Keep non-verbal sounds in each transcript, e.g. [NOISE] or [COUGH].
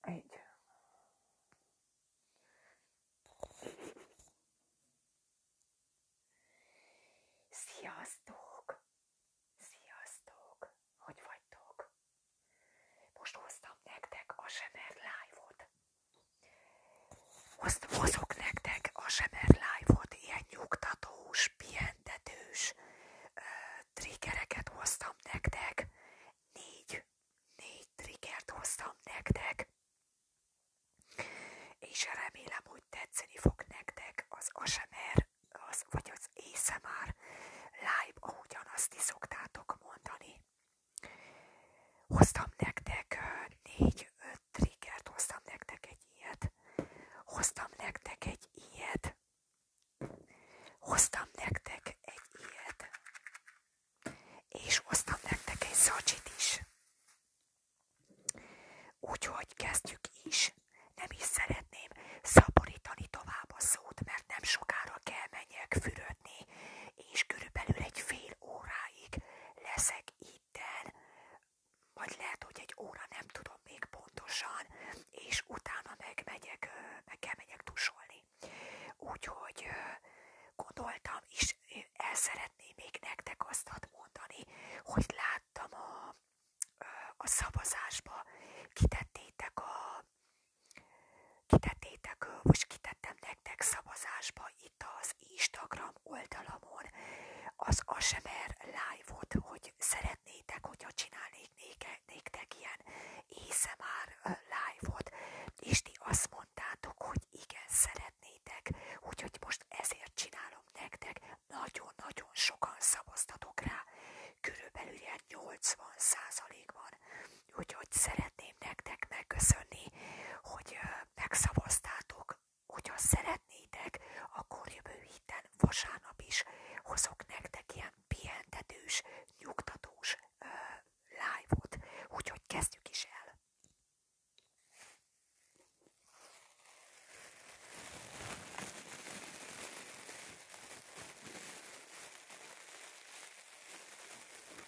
Egy. Sziasztok! Sziasztok! Hogy vagytok? Most hoztam nektek a Semer Live-ot. Most Hozok nektek a Seber Live-ot, ilyen nyugtatós, pihentetős ö, triggereket hoztam nektek. Négy, négy triggert hoztam nektek. És remélem, hogy tetszeni fog nektek az ASMR, az, vagy az ASMR live, ahogyan azt is szoktátok mondani. Hoztam nektek négy-öt triggert, hoztam nektek egy ilyet, hoztam nektek egy ilyet, hoztam nektek egy ilyet, és hoztam nektek egy zacsit is. Úgyhogy kezdjük is. Nem is szeretném szaporítani tovább a szót, mert nem sokára kell menjek fürödni kötni, és körülbelül egy fél óráig leszek itten, vagy lehet, hogy egy óra, nem tudom még pontosan, és utána megmegyek, meg kell megyek tusolni. Úgyhogy gondoltam, és el szeretném még nektek azt mondani, hogy láttam a, a szavazásba, kitettétek a kitettétek, most kitettem nektek szavazásba itt az Instagram oldalamon az ASMR live-ot, hogy szeretnétek, hogyha csinálnék néke, néktek ilyen már live-ot, és ti azt mondtátok, hogy igen, szeretnétek, úgyhogy most ezért csinálom nektek, nagyon-nagyon sokan szavaztatok rá, körülbelül ilyen 80 százalékban, Úgyhogy szeretném nektek megköszönni, hogy megszavaztátok. Hogyha szeretnétek, akkor jövő héten vasárnap is hozok nektek ilyen pihentetős, nyugtatós ö, live-ot. Úgyhogy kezdjük is el.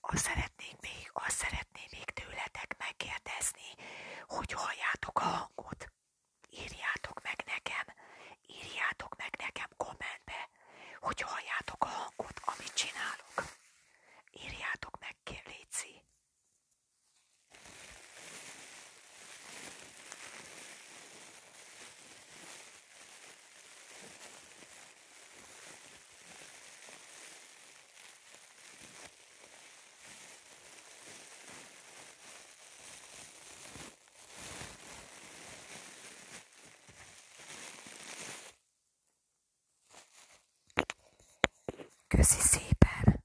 Azt szeretném még, azt szeretném még tőletek megkérdezni, hogy halljátok a hangot. Írjátok meg nekem, írjátok meg nekem kommentbe, hogy halljátok a hangot, amit csinálok. Írjátok meg, kér, Köszi szépen!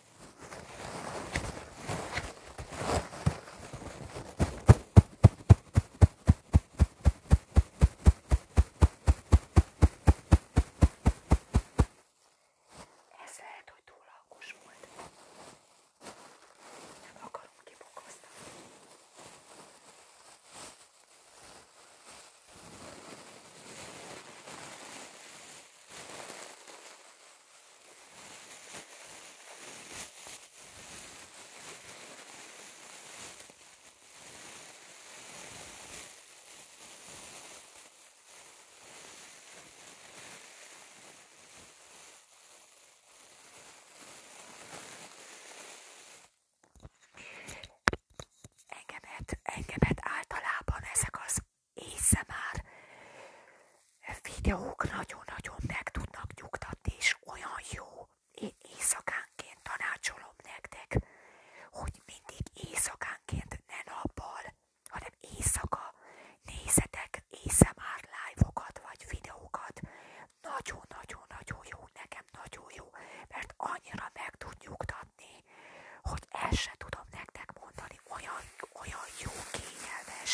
Ez lehet, hogy túl alkos volt. Nem akarom kibokoztam. Engemet, engemet általában ezek az ASMR videók nagyon-nagyon meg tudnak nyugtatni, és olyan jó. Én éjszakánként tanácsolom nektek, hogy mindig éjszakánként ne nappal, hanem éjszaka nézzetek ASMR live-okat vagy videókat. Nagyon-nagyon-nagyon jó, nekem nagyon jó, mert annyira meg tud nyugtatni, hogy el se tudom nektek mondani, olyan, olyan jó, kényelmes.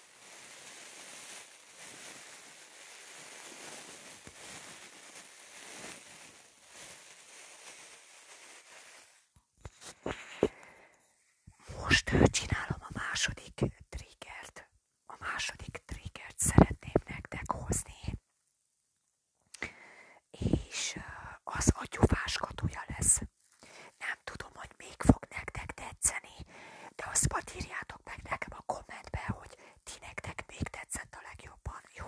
Most csinálom a második triggert. A második triggert szeretném nektek hozni. És az agyúvásgatója lesz. Nem tudom, hogy még fog nektek tetszeni, de azt majd írjátok meg nekem a kommentbe, hogy ti nektek még tetszett a legjobban, jó?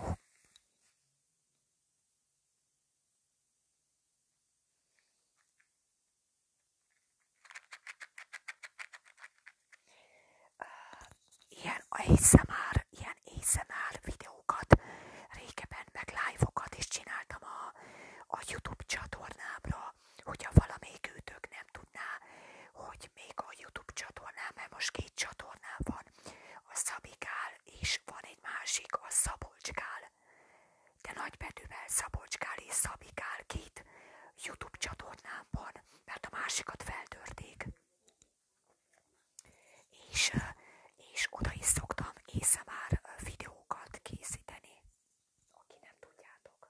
Ah, ilyen ASMR, ilyen ASMR videókat, régebben meg live-okat is csináltam a, a YouTube csatornámra, hogyha valamelyik őtök nem tudná, hogy még a Youtube csatornán, mert most két csatornán van, a Szabikál, és van egy másik, a Szabolcskál, de nagybetűvel Szabolcskál és Szabikál két Youtube csatornán van, mert a másikat feltörték. És, és oda is szoktam észre már videókat készíteni aki nem tudjátok.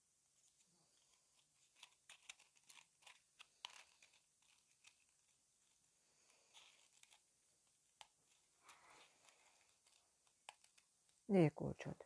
Négy kulcsot.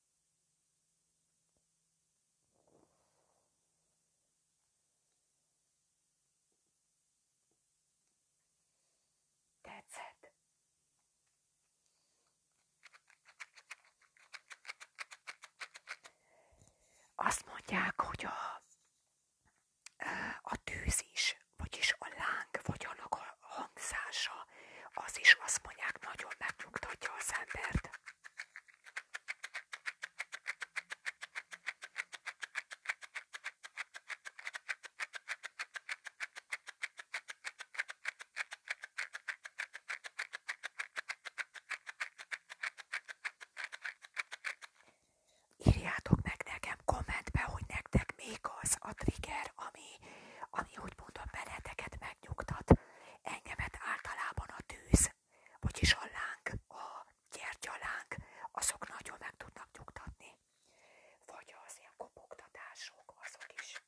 Tetszett? Azt mondják, hogy a, a tűz is, vagyis a láng, vagy annak a hangzása, az is azt mondják, nagyon megnyugtatja az embert. Írjátok meg nekem kommentbe, hogy nektek még az a trigger, ami, ami úgy mondom, benneteket megnyugtat engemet általában a tűz, vagyis a láng, a gyertyalánk, azok nagyon meg tudnak nyugtatni. Vagy az ilyen kopogtatások, azok is.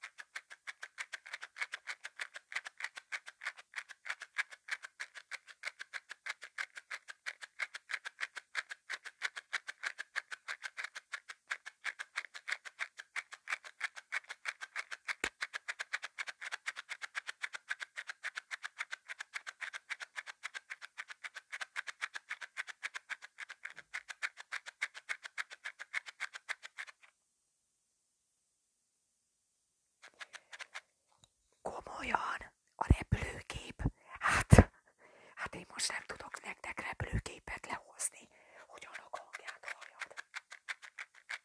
Komolyan a repülőkép? Hát, hát én most nem tudok nektek repülőképet lehozni, hogy annak hangját halljad.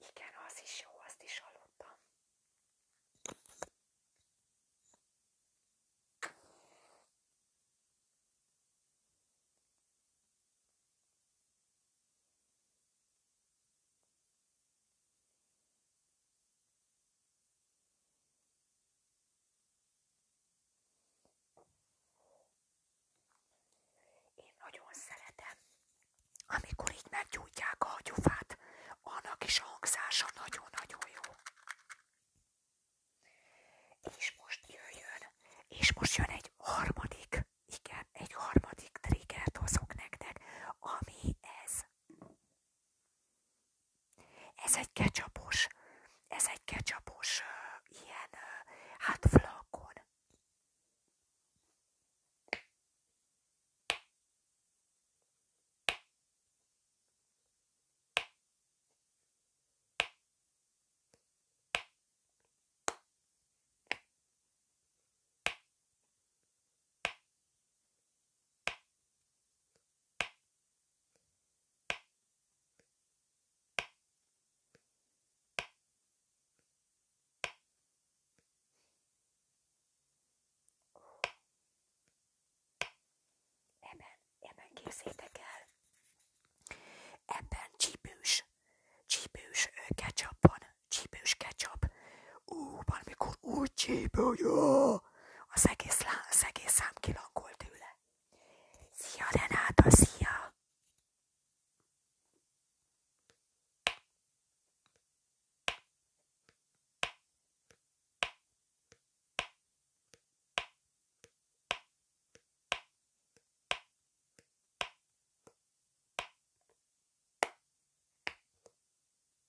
Igen, az is jó, azt is hallottam. Én nagyon szeretem, amikor így meggyújtják a hagyufát, annak is a hangzása nagyon-nagyon jó. És most jöjjön, és most jön egy harmadik, igen, egy harmadik triggert hozok nektek, ami ez. Ez egy ketchupos, ez egy ketchupos uh, ilyen, uh, hát flakon. Ebben, ebben képzétek el, ebben csípős, csípős ketchup van, ketchup. Ú, valamikor úgy csípős, akkor az egész, lá, az egész szám kilakolt tőle. Szia Renáta, szia!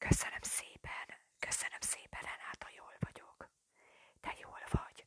Köszönöm szépen, köszönöm szépen, Renáta, jól vagyok. Te jól vagy.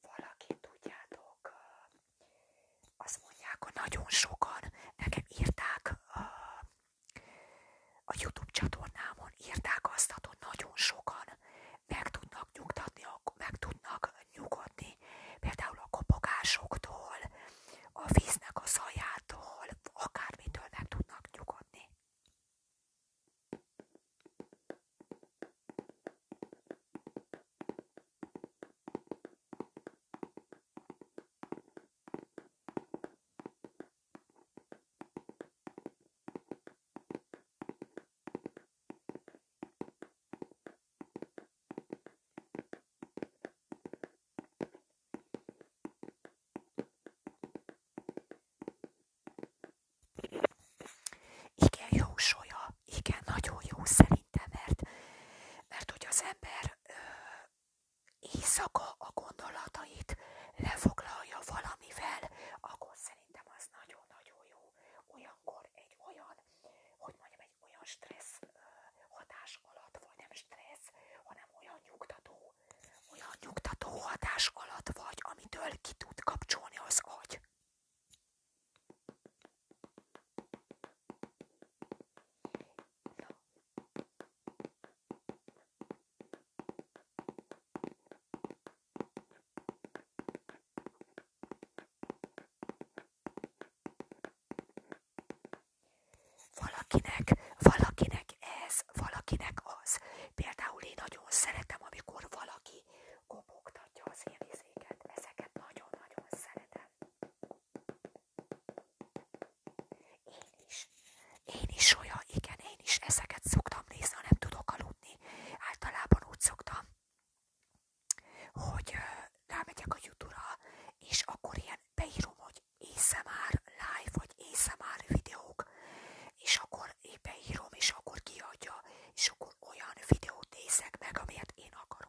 Valaki tudjátok, azt mondják, hogy nagyon sokan nekem írták a YouTube csatornámon, írták azt, hogy nagyon sokan meg tudnak nyugtatni, meg tudnak nyugodni, például a kopogásoktól, a víznek a zajától, akármitől meg tudnak nyugodni. Igen, jó soja, igen, nagyon jó szerintem, mert, mert hogy az ember ö, éjszaka a gondolatait lefoglalja valamivel, akkor szerintem az nagyon-nagyon jó. Olyankor egy olyan, hogy mondjam, egy egy olyan stressz hatás alatt, vagy nem stressz, hanem olyan nyugtató, olyan nyugtató hatás alatt vagy, amitől ki tud kapcsolni az agy. Na. Valakinek, valakinek ez, valakinek az. Például én nagyon szeretem, amikor valaki kopogtatja az én izéket. Ezeket nagyon-nagyon szeretem. Én is. Én is olyan, igen, én is ezeket szoktam nézni, ha nem tudok aludni. Általában úgy szoktam hogy rámegyek a YouTube-ra, és akkor ilyen beírom, hogy már live, vagy már videók, és akkor én beírom, és akkor kiadja, és akkor olyan videót nézek meg, amelyet én akarok.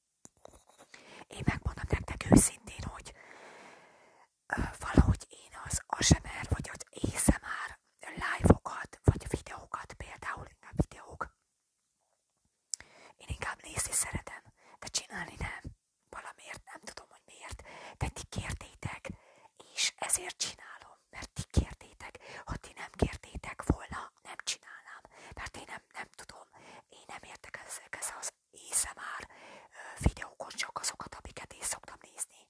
Én megmondom nektek őszintén, hogy valahogy én az ASMR vagy az ASMR live-okat, vagy videókat, például inkább videók, én inkább nézni szeretem, de csinálni nem. Valamiért, nem tudom, hogy miért, de ti kértétek, és ezért csinálom, mert ti kértétek. Ha ti nem kértétek volna, nem csinálnám, mert én nem, nem tudom, én nem értek ezek ezzel az észre már videókon csak azokat, amiket én szoktam nézni.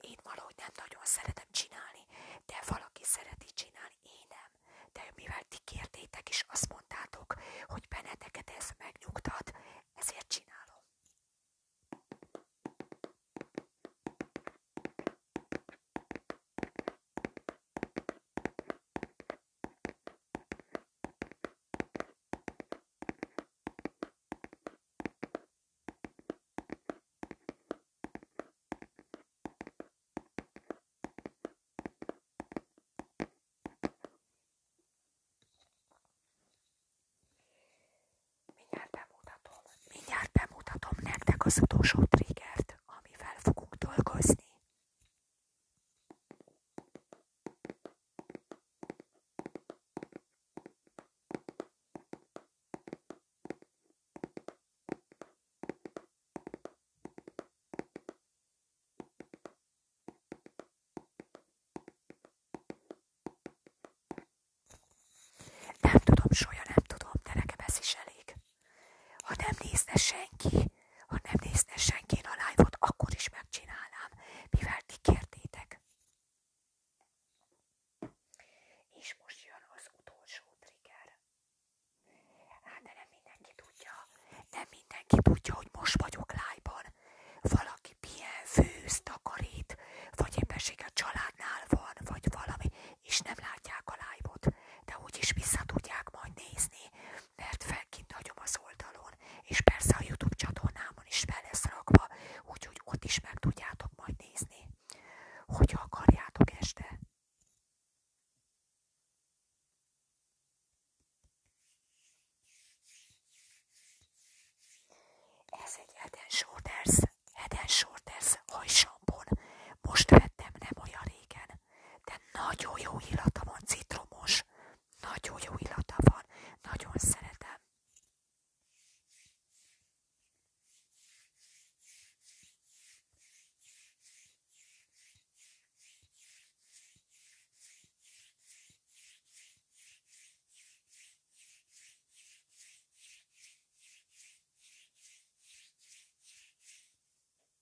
Én valahogy nem nagyon szeretem csinálni, de valaki szereti csinálni, én nem. De mivel ti kértétek és azt mondtátok, hogy benneteket ez megnyugtat, ezért csinálom. Mindjárt bemutatom, mindjárt bemutatom nektek az utolsó triggert, amivel fogunk dolgozni. Nem tudom, Sólya, nem tudom, de nekem ez is elég. Ha nem nézne senki, ha nem nézne senki a live akkor is megcsinálnám, mivel ti kértétek. És most jön az utolsó trigger. Hát de nem mindenki tudja, nem mindenki tudja, hogy most vagyok live Valaki pihen, főz, takarít, vagy éppenség a családnál van, vagy valami, és nem látják a live-ot, de úgyis vissza tudják majd nézni, mert felkint hagyom az oldalon, és persze a YouTube csatornámon is fel lesz rakva, úgyhogy ott is meg tudjátok majd nézni, hogyha akarjátok este. Ez egy Head and Shoulders, Head and Most vettem nem olyan régen de nagyon jó illata van, citromos. Nagyon jó illata van, nagyon szeretem.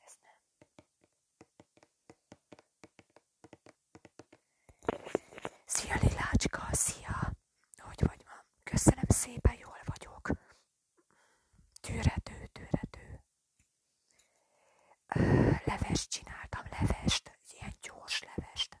Ez nem. Szia Lilácska, szia! Hogy vagy ma? Köszönöm szépen, jól vagyok. Tűrető, tűrető. Levest csináltam, levest, ilyen gyors levest.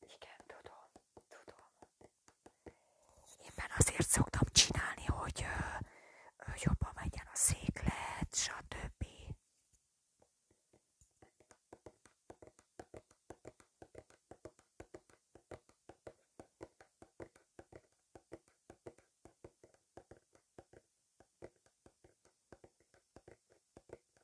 Igen, tudom, tudom. Éppen azért szoktam csinálni, hogy ö, ö, jobban menjen a széklet, stb.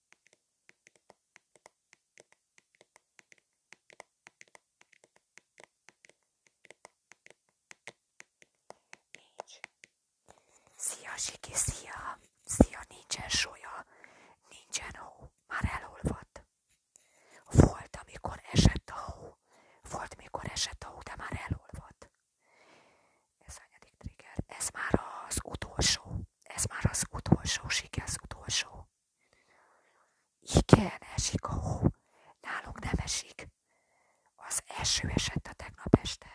Nincs. Szia, Zsiki, szia! Szia, nincsen sója, nincsen hó, már elolvadt. Volt, amikor esett a hó, volt, mikor esett a hó, de már elolvadt. Ez hanyadik trigger? Ez már az utolsó. Ez már az utolsó siker, az utolsó. Igen, esik a hó. Nálunk nem esik. Az eső esett a tegnap este.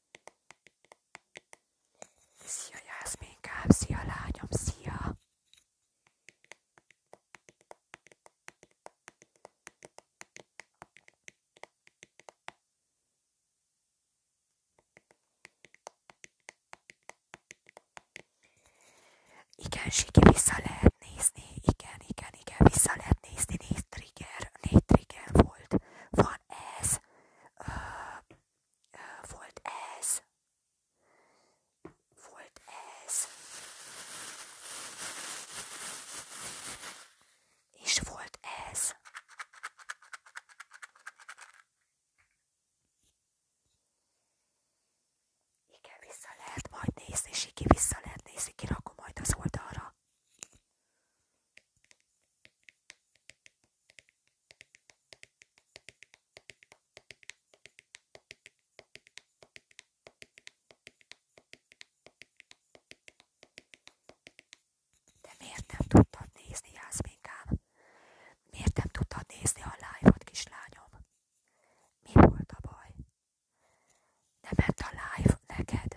Szia Jászminkám, szia lányom, szia! Igen, Siki, vissza lehet nézni, igen, igen, igen, vissza lehet nézni, négy trigger, négy trigger volt. Van ez, volt ez, volt ez, és volt ez. Igen, vissza lehet majd nézni, Siki, vissza lehet nézni, kirakom majd az oldalra. De miért nem tudtad nézni, Jászminkám? Miért nem tudtad nézni a live-ot, kislányom? Mi volt a baj? Nem ment a live neked?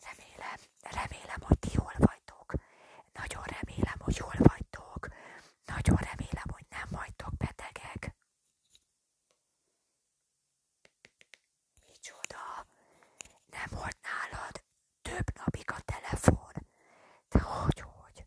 Remélem, remélem, hogy ti jól vagytok. Nagyon remélem, hogy jól vagytok. Nagyon remélem, hogy nem vagytok betegek. Micsoda, nem volt nálad több napig a telefon. De hogy, hogy?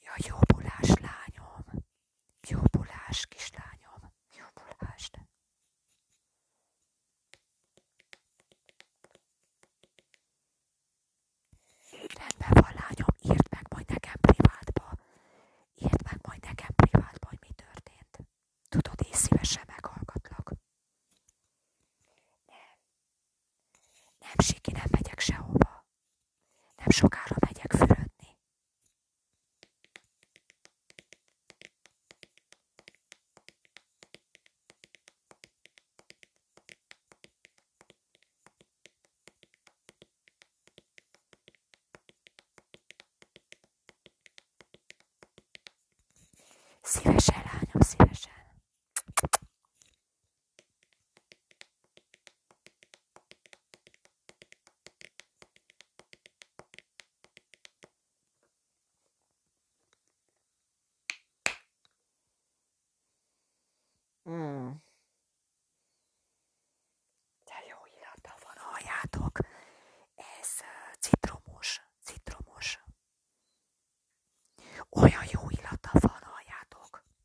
Ja, jobbulás lányom, jobbulás kislányom, jobbulás. Rendben van lányom, írd meg majd nekem privátba. Írd meg majd nekem privátba, hogy mi történt. Tudod, én szívesen meghallgatlak. Nem. Nem, Siki, nem megyek sehova. Nem sokára megyek fürödni. Szívesen, lányom, szívesen. Mm. De jó illata van, halljátok? Ez citromos, citromos. Olyan jó illata van, halljátok?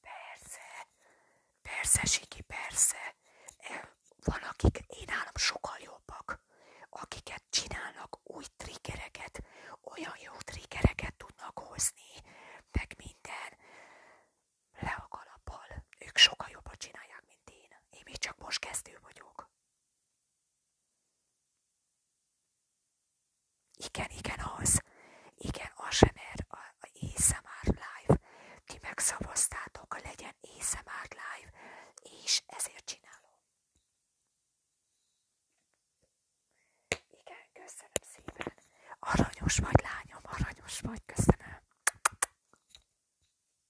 Persze, persze, Siki, persze. Van, akik én állam sokkal jobbak, akiket csinálnak új triggereket, olyan jó triggereket tudnak hozni, meg minden le a kalappal. Ők sokkal jobban csinálják, mint én. Én még csak most kezdő vagyok. Igen, igen, az. Igen, ASMR, er- a, a ASMR Live. Ti megszavaztátok, hogy legyen ASMR Live, és ezért csinálom. Igen, köszönöm szépen. Aranyos vagy, lányom, aranyos vagy, köszönöm.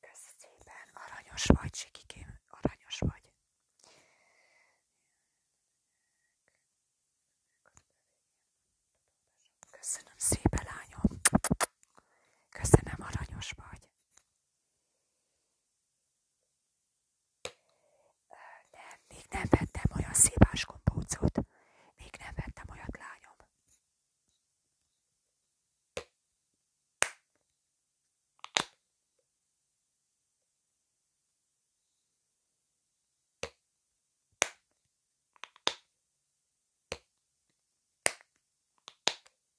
Kösz szépen, aranyos vagy, Sikikém, aranyos vagy. Köszönöm szépen, lányom. Köszönöm, aranyos vagy. Nem, még nem vettem olyan szívás kompócot. Még nem vettem olyat, lányom.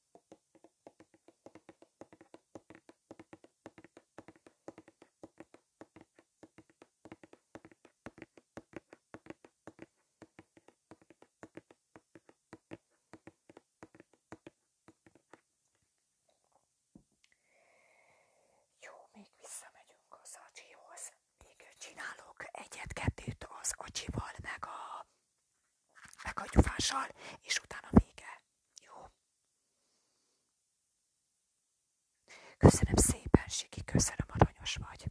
Jó, még visszamegyünk az acsihoz. Még csinálok egyet az acsival, meg a, meg a gyufással, és utána vége. Jó. Köszönöm szépen, Siki, köszönöm, aranyos vagy.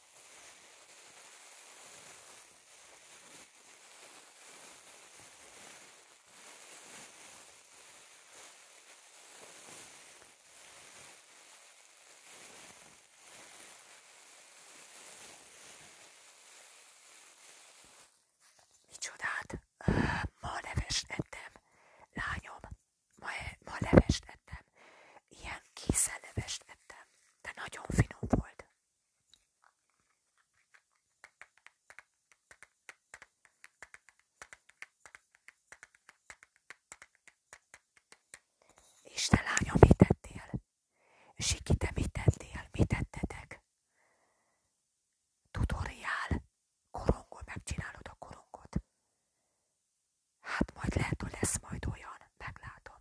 Micsodát? [SIGHS] Ma levest ettem, lányom, ma, e, ma levest ettem, ilyen készen levest ettem, de nagyon finom volt. És te lányom, mit tettél? Siki, te mit tettél? Mit tettetek? Tutoriál. Korongol, megcsinálod a korongot. Hát majd lehet, hogy lesz majd olyan. Meglátom.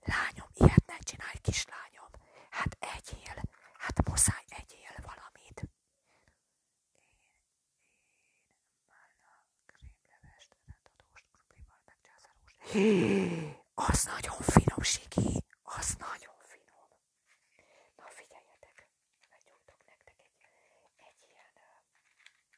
Lányom, ilyet ne csinálj, kislányom. Hát egyél, hát muszáj egyél valamit. Én, én ilyen krémlevest, rendadóst, kruplival, megcsászárost. Az nagyon finom, Siki, az nagyon finom. Na figyeljetek, meggyújtok nektek egy ilyen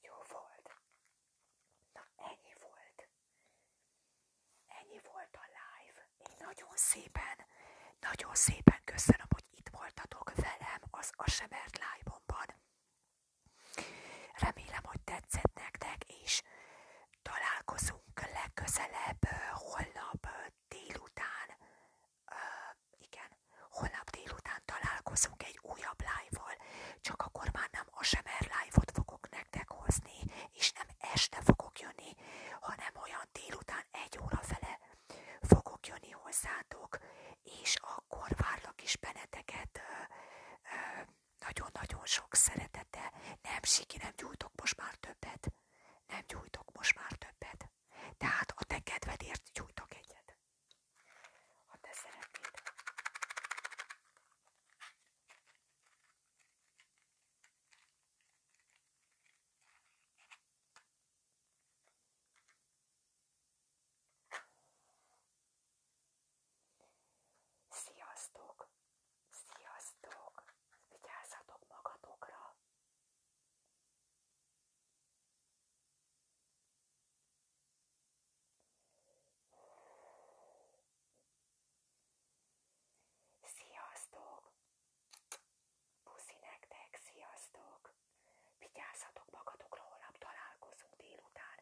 Jó volt. Na ennyi volt. Ennyi volt a live. nagyon szépen, nagyon szépen köszönöm, hogy itt voltatok velem az Asemert live-omban. Remélem, hogy tetszett nektek, és találkozunk legközelebb holnap délután igen, holnap délután találkozunk egy újabb live csak akkor már nem a semer fogok nektek hozni, és nem este fogok jönni, hanem olyan délután egy óra fele fogok jönni hozzátok, és akkor várlak is benneteket nagyon-nagyon sok szeretettel. Nem siki, nem gyújtok most már többet. Nem gyújtok most már többet. Tehát a te kedvedért gyújtok egyet ha te szeretnéd. Sziasztok! Sziasztok! Vigyázzatok magatokra! Sziasztok! Puszi nektek, sziasztok! Vigyázzatok magatokra, holnap találkozunk délután.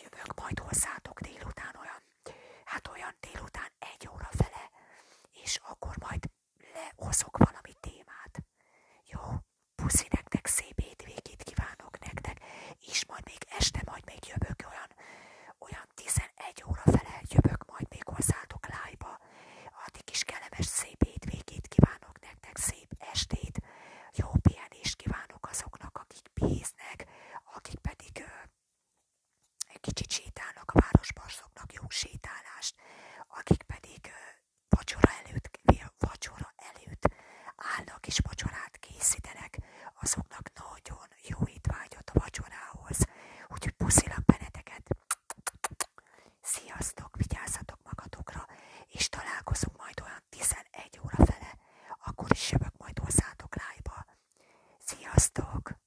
Jövök majd hozzátok délután olyan, hát olyan délután egy óra fele, és akkor majd lehozok valami témát. Jó, puszi nektek, szép hétvégét kívánok nektek, és majd még este, majd még jövök olyan, olyan 11 óra fele jövök majd még hozzátok live-ba. Addig is kellemes, szép hétvégét kívánok nektek, szép estét, jó pihenést kívánok azoknak, akik bíznek, akik pedig ö, kicsit sétálnak a városban, azoknak jó sétálást, akik pedig ö, vacsora előtt, vacsora előtt állnak és vacsorát készítenek, azoknak nagyon jó étvágyat a vacsorához. Úgyhogy puszilag benneteket. Sziasztok, vigyázzatok magatokra, és találkozunk majd olyan 11 óra fele. Akkor is jövök majd hozzátok live-ba. Sziasztok!